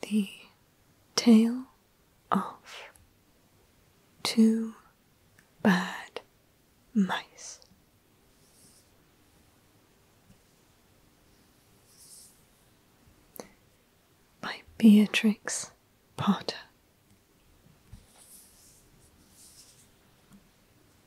The tale of two bad mice. By Beatrix Potter.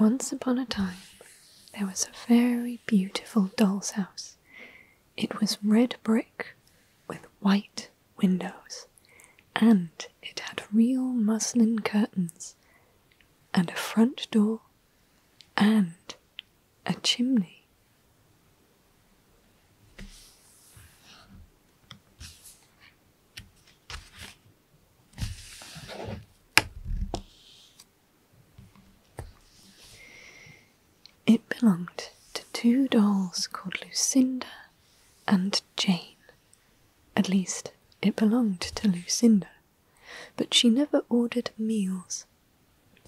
Once upon a time, there was a very beautiful doll's house. It was red brick with white windows, and it had real muslin curtains, and a front door, and a chimney. It belonged to two dolls called Lucinda and Jane. At least, it belonged to Lucinda, but she never ordered meals.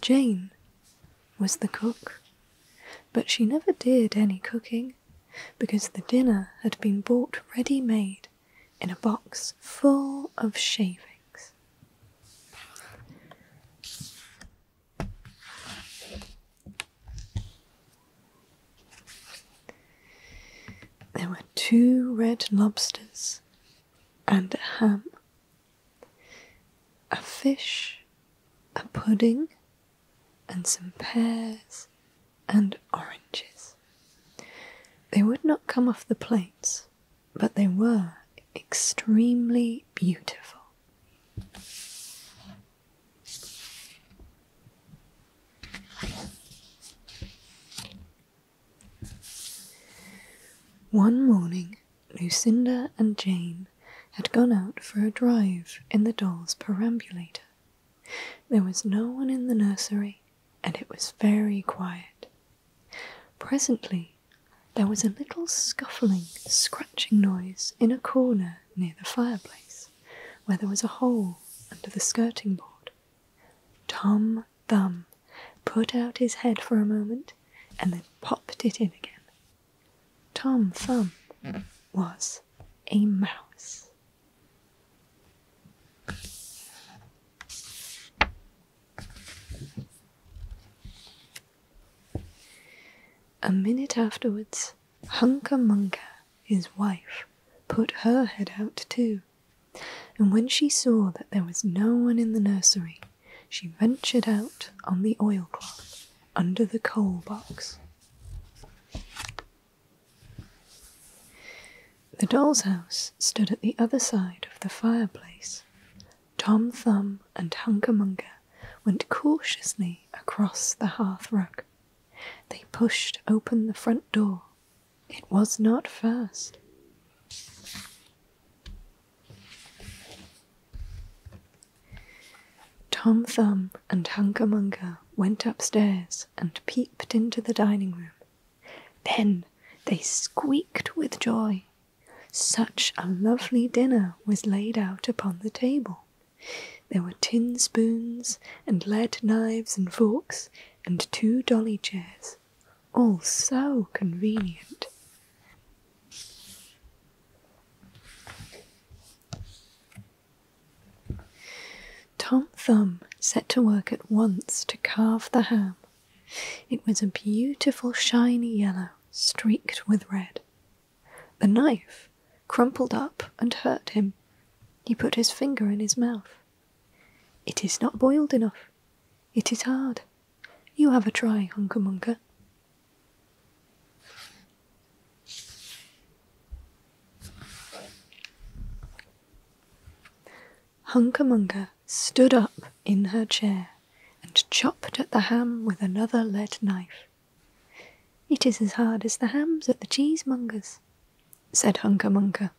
Jane was the cook, but she never did any cooking because the dinner had been bought ready made in a box full of shavings. There were two red lobsters and a ham, a fish, a pudding, and some pears and oranges. They would not come off the plates, but they were extremely beautiful. One morning, Lucinda and Jane had gone out for a drive in the doll's perambulator. There was no one in the nursery, and it was very quiet. Presently, there was a little scuffling, scratching noise in a corner near the fireplace, where there was a hole under the skirting board. Tom Thumb put out his head for a moment and then popped it in again. Tom Thumb was a mouse. A minute afterwards, Hunca Munca, his wife, put her head out too, and when she saw that there was no one in the nursery, she ventured out on the oilcloth under the coal box. The doll's house stood at the other side of the fireplace. Tom Thumb and Hunkermunker went cautiously across the hearth rug. They pushed open the front door. It was not fast. Tom Thumb and Hunkamunka went upstairs and peeped into the dining room. Then they squeaked with joy. Such a lovely dinner was laid out upon the table. There were tin spoons and lead knives and forks and two dolly chairs, all so convenient. Tom Thumb set to work at once to carve the ham. It was a beautiful shiny yellow, streaked with red. The knife crumpled up and hurt him. He put his finger in his mouth. It is not boiled enough. It is hard, you have a try, Hunka Munka. Hunka Munka stood up in her chair and chopped at the ham with another lead knife. It is as hard as the hams at the cheesemongers, said Hunka Munka.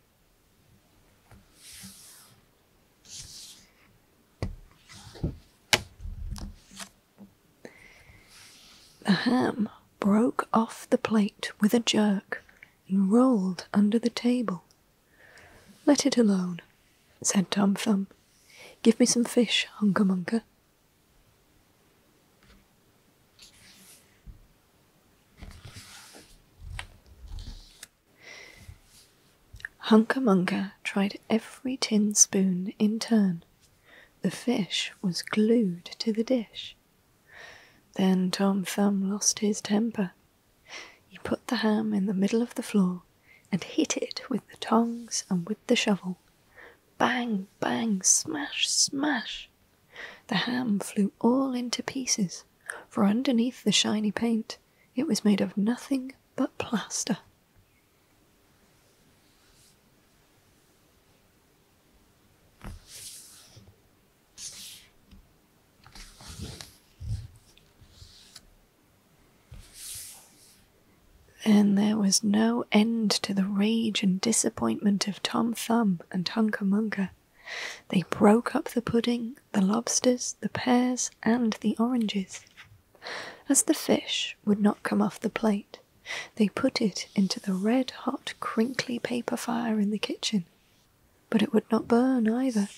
The ham broke off the plate with a jerk and rolled under the table. Let it alone, said Tom Thumb. Give me some fish, Hunker Munker. Hunkamunka tried every tin spoon in turn. The fish was glued to the dish. Then Tom Thumb lost his temper. He put the ham in the middle of the floor and hit it with the tongs and with the shovel. Bang, bang, smash, smash! The ham flew all into pieces for underneath the shiny paint it was made of nothing but plaster. And there was no end to the rage and disappointment of Tom Thumb and Hunker Munker. They broke up the pudding, the lobsters, the pears, and the oranges. As the fish would not come off the plate, they put it into the red hot crinkly paper fire in the kitchen, but it would not burn either.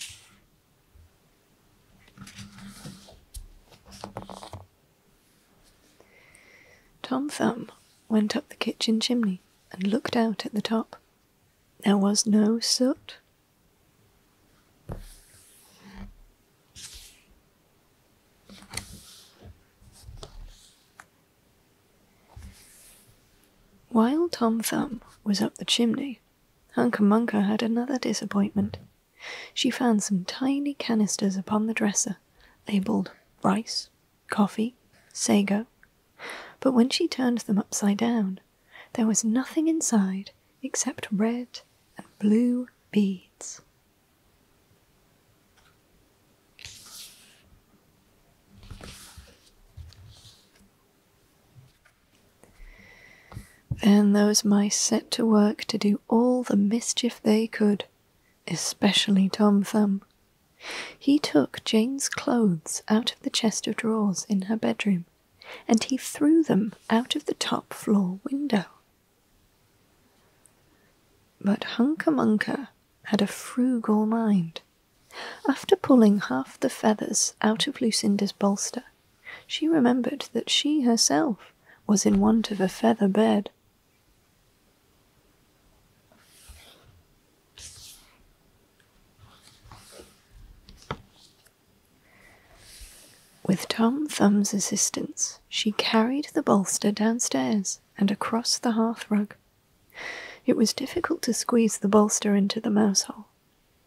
Tom Thumb went up the kitchen chimney and looked out at the top. There was no soot while Tom Thumb was up the chimney, Hunca Munca had another disappointment. She found some tiny canisters upon the dresser, labelled rice, coffee, sago, but when she turned them upside down, there was nothing inside except red and blue beads. Then those mice set to work to do all the mischief they could, especially Tom Thumb. He took Jane's clothes out of the chest of drawers in her bedroom, and he threw them out of the top floor window. But Hunker Munker had a frugal mind. After pulling half the feathers out of Lucinda's bolster, she remembered that she herself was in want of a feather bed. With Tom Thumb's assistance, she carried the bolster downstairs and across the hearth rug. It was difficult to squeeze the bolster into the mousehole,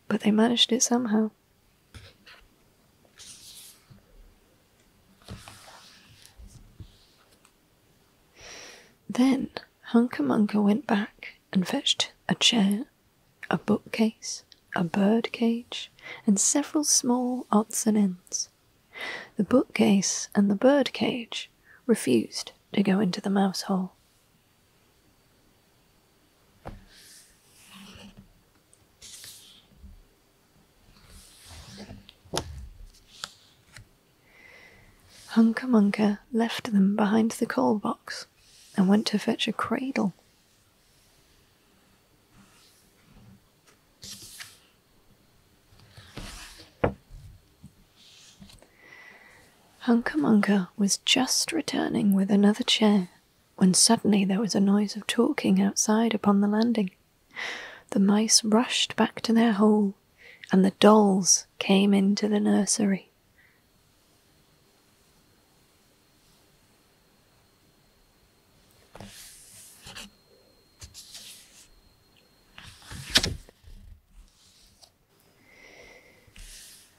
but they managed it somehow. Then Hunkamunka went back and fetched a chair, a bookcase, a bird cage, and several small odds and ends. The bookcase and the bird cage refused to go into the mouse hole. Hunca Munca left them behind the coal box and went to fetch a cradle. Hunca Munca was just returning with another chair when suddenly there was a noise of talking outside upon the landing. The mice rushed back to their hole and the dolls came into the nursery.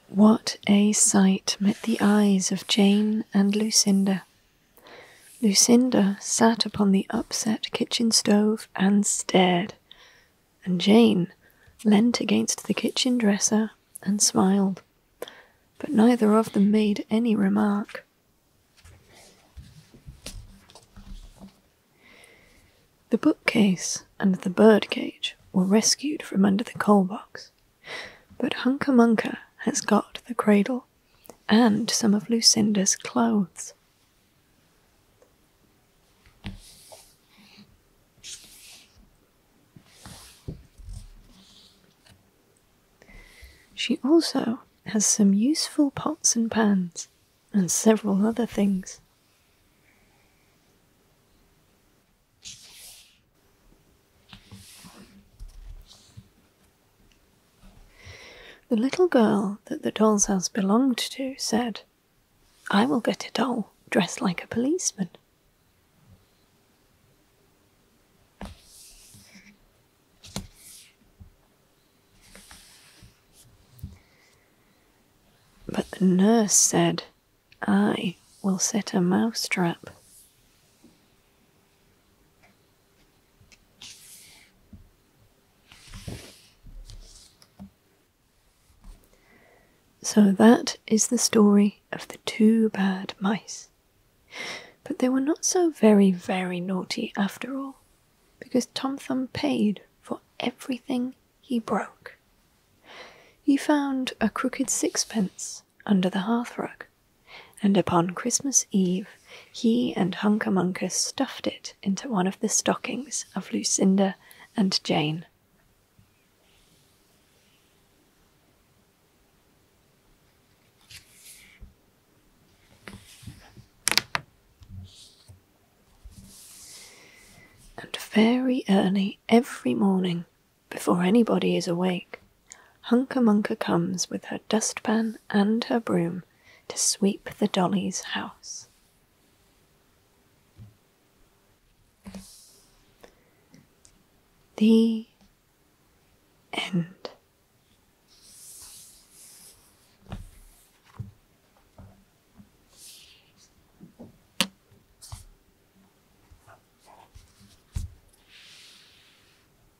What a sight met the eyes of Jane and Lucinda. Lucinda sat upon the upset kitchen stove and stared, and Jane leant against the kitchen dresser and smiled, but neither of them made any remark. The bookcase and the bird cage were rescued from under the coal box, but Hunker Munker has got the cradle and some of Lucinda's clothes. She also has some useful pots and pans and several other things. The little girl that the doll's house belonged to said, I will get a doll dressed like a policeman. But the nurse said, I will set a mouse trap." So that is the story of the two bad mice. But they were not so very, very naughty after all, because Tom Thumb paid for everything he broke. He found a crooked sixpence under the hearthrug, and upon Christmas Eve he and Hunkamunkus stuffed it into one of the stockings of Lucinda and Jane. And very early every morning, before anybody is awake, Hunkamunka comes with her dustpan and her broom to sweep the dolly's house. The end.